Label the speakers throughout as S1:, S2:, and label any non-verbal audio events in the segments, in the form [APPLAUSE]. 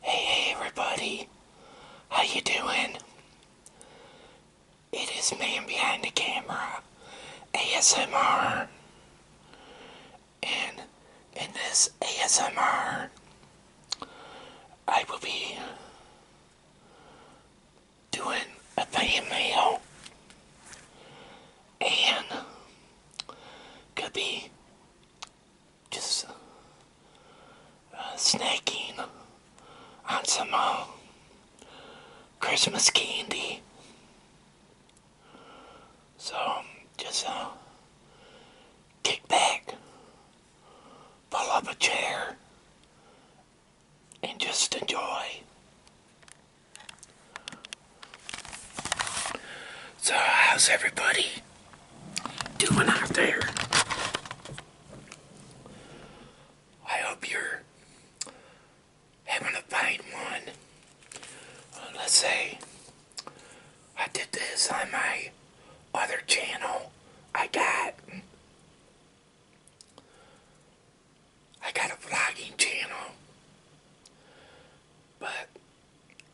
S1: Hey, hey everybody, how you doing? It is me behind the camera, ASMR, and in this ASMR, I will be doing a fan and could be just uh, snacking on some uh, Christmas candy. So just uh, kick back, pull up a chair, and just enjoy. So, how's everybody doing out there? I hope you're having a fine one. Uh, let's say I did this on my other channel. I got I got a vlogging channel, but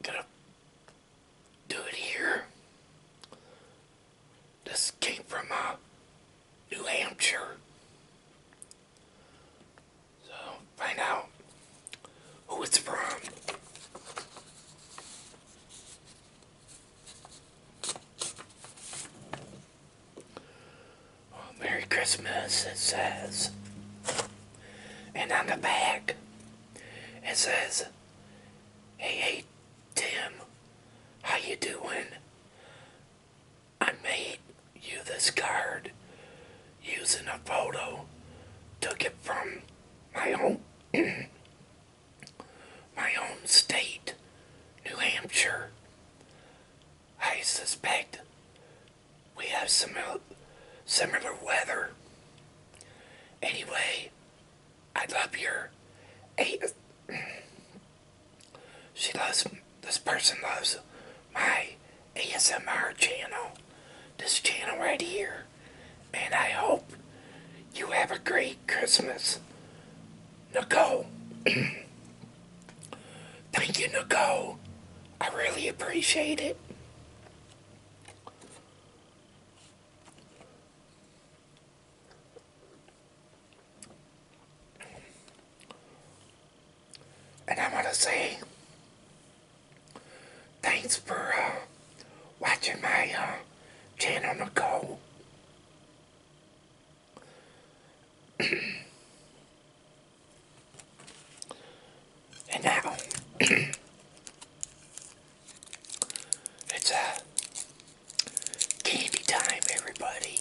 S1: gonna do it here. This came from uh, New Hampshire. So find out who it's from. Well, Merry Christmas, it says. And on the back, it says, Hey, hey, Tim, how you doing? I made you this card using a photo. Took it from my home, [CLEARS THROAT] my home state, New Hampshire. I suspect we have some similar weather. Anyway, I love your she loves, this person loves my ASMR channel. This channel right here. And I hope you have a great Christmas. Nicole. [CLEARS THROAT] Thank you, Nico. I really appreciate it. And I want to say thanks for uh, watching my uh, channel, Nicole. [CLEARS THROAT] And now [CLEARS THROAT] it's a candy time, everybody.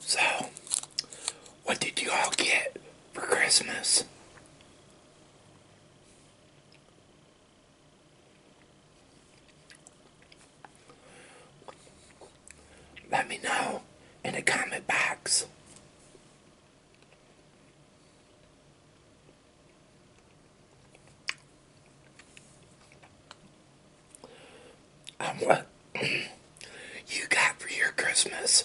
S1: So, what did you all get for Christmas? Let me know in the comment box on what you got for your Christmas.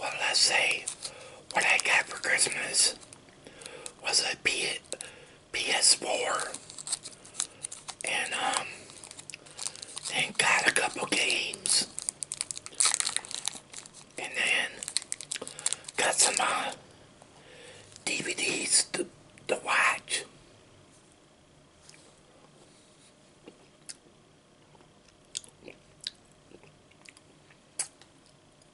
S1: well, let's say what I got for Christmas was a P PS4 and um and got a couple games and then got some uh, DVDs to, to watch.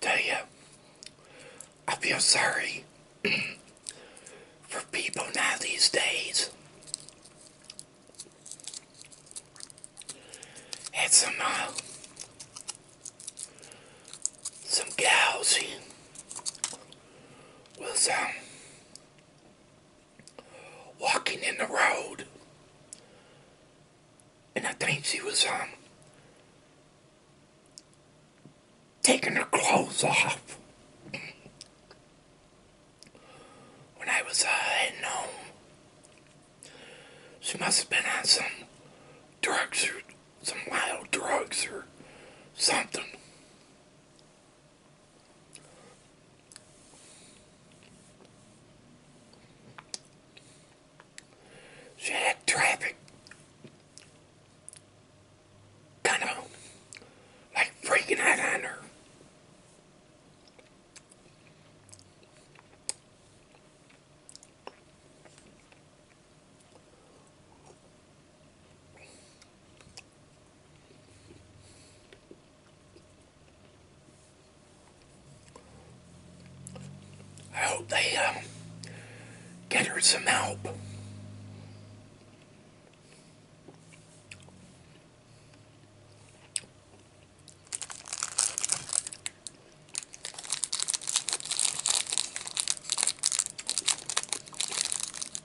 S1: Tell I feel sorry [CLEARS THROAT] for people now these days. It's some, uh, some gals was, um, walking in the road. And I think she was um, taking her clothes off. when I was uh, heading she must have been on some drugs or some wild drugs or something. See that traffic? Kind of like freaking out on her. I hope they um, get her some help.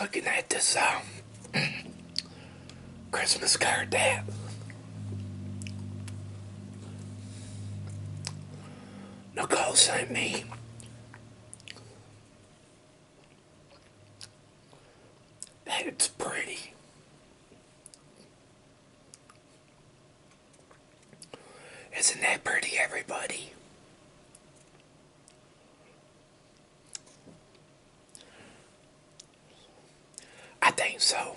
S1: Looking at this um, [CLEARS THROAT] Christmas card that Nicole sent me. It's pretty. Isn't that pretty, everybody? I think so.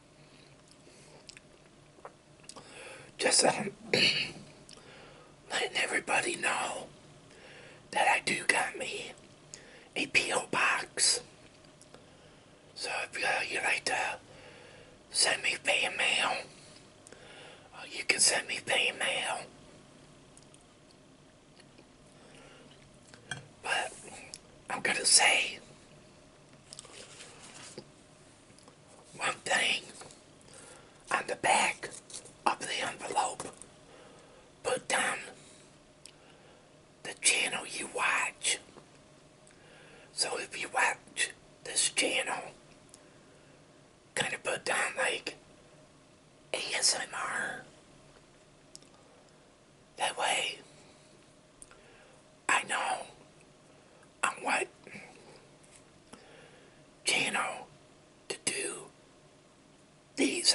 S1: Just [CLEARS THROAT] letting, everybody know that I do got me a P.O. box. So if uh, you'd like to send me fan mail, uh, you can send me fan mail. But I'm going to say one thing on the back of the envelope, put down the channel you watch. So if you watch this channel, kind of put down like ASMR that way, I know on what channel to do these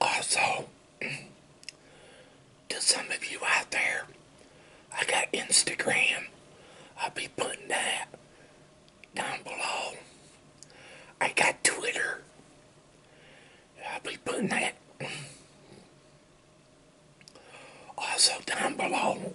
S1: Also, [CLEARS THROAT] to some of you out there, I got Instagram. I'll be putting that down below. I got Twitter. I'll be putting that also down below.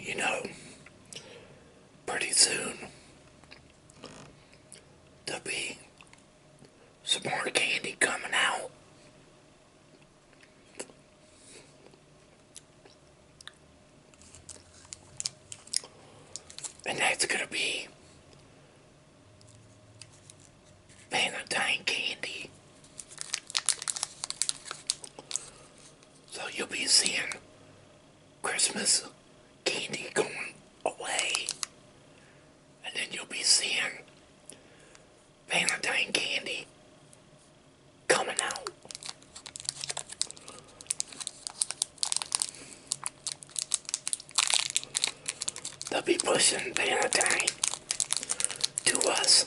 S1: You know, pretty soon there'll be some more candy coming out. And that's going to be Valentine candy. So you'll be seeing Christmas candy going away. And then you'll be seeing Valentine candy coming out. They'll be pushing Valentine to us.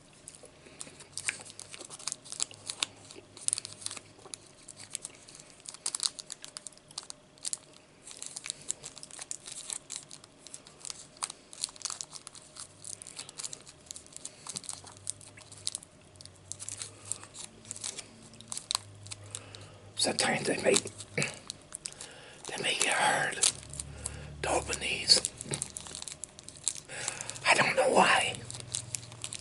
S1: Sometimes they make they make it hard to open these. I don't know why.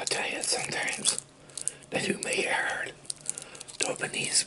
S1: I tell you, sometimes that you may heard Japanese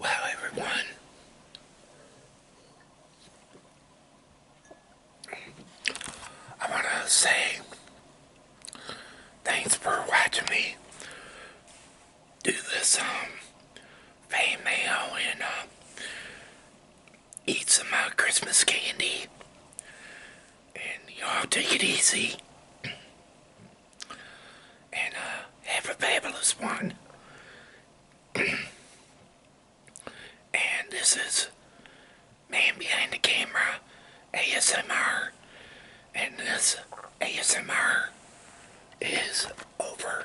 S1: Wow, everyone. I want to say thanks for watching me do this um fan and uh, eat some uh, Christmas candy. And y'all take it easy. And uh, have a fabulous one. and this is Man Behind the Camera ASMR. And this ASMR is over.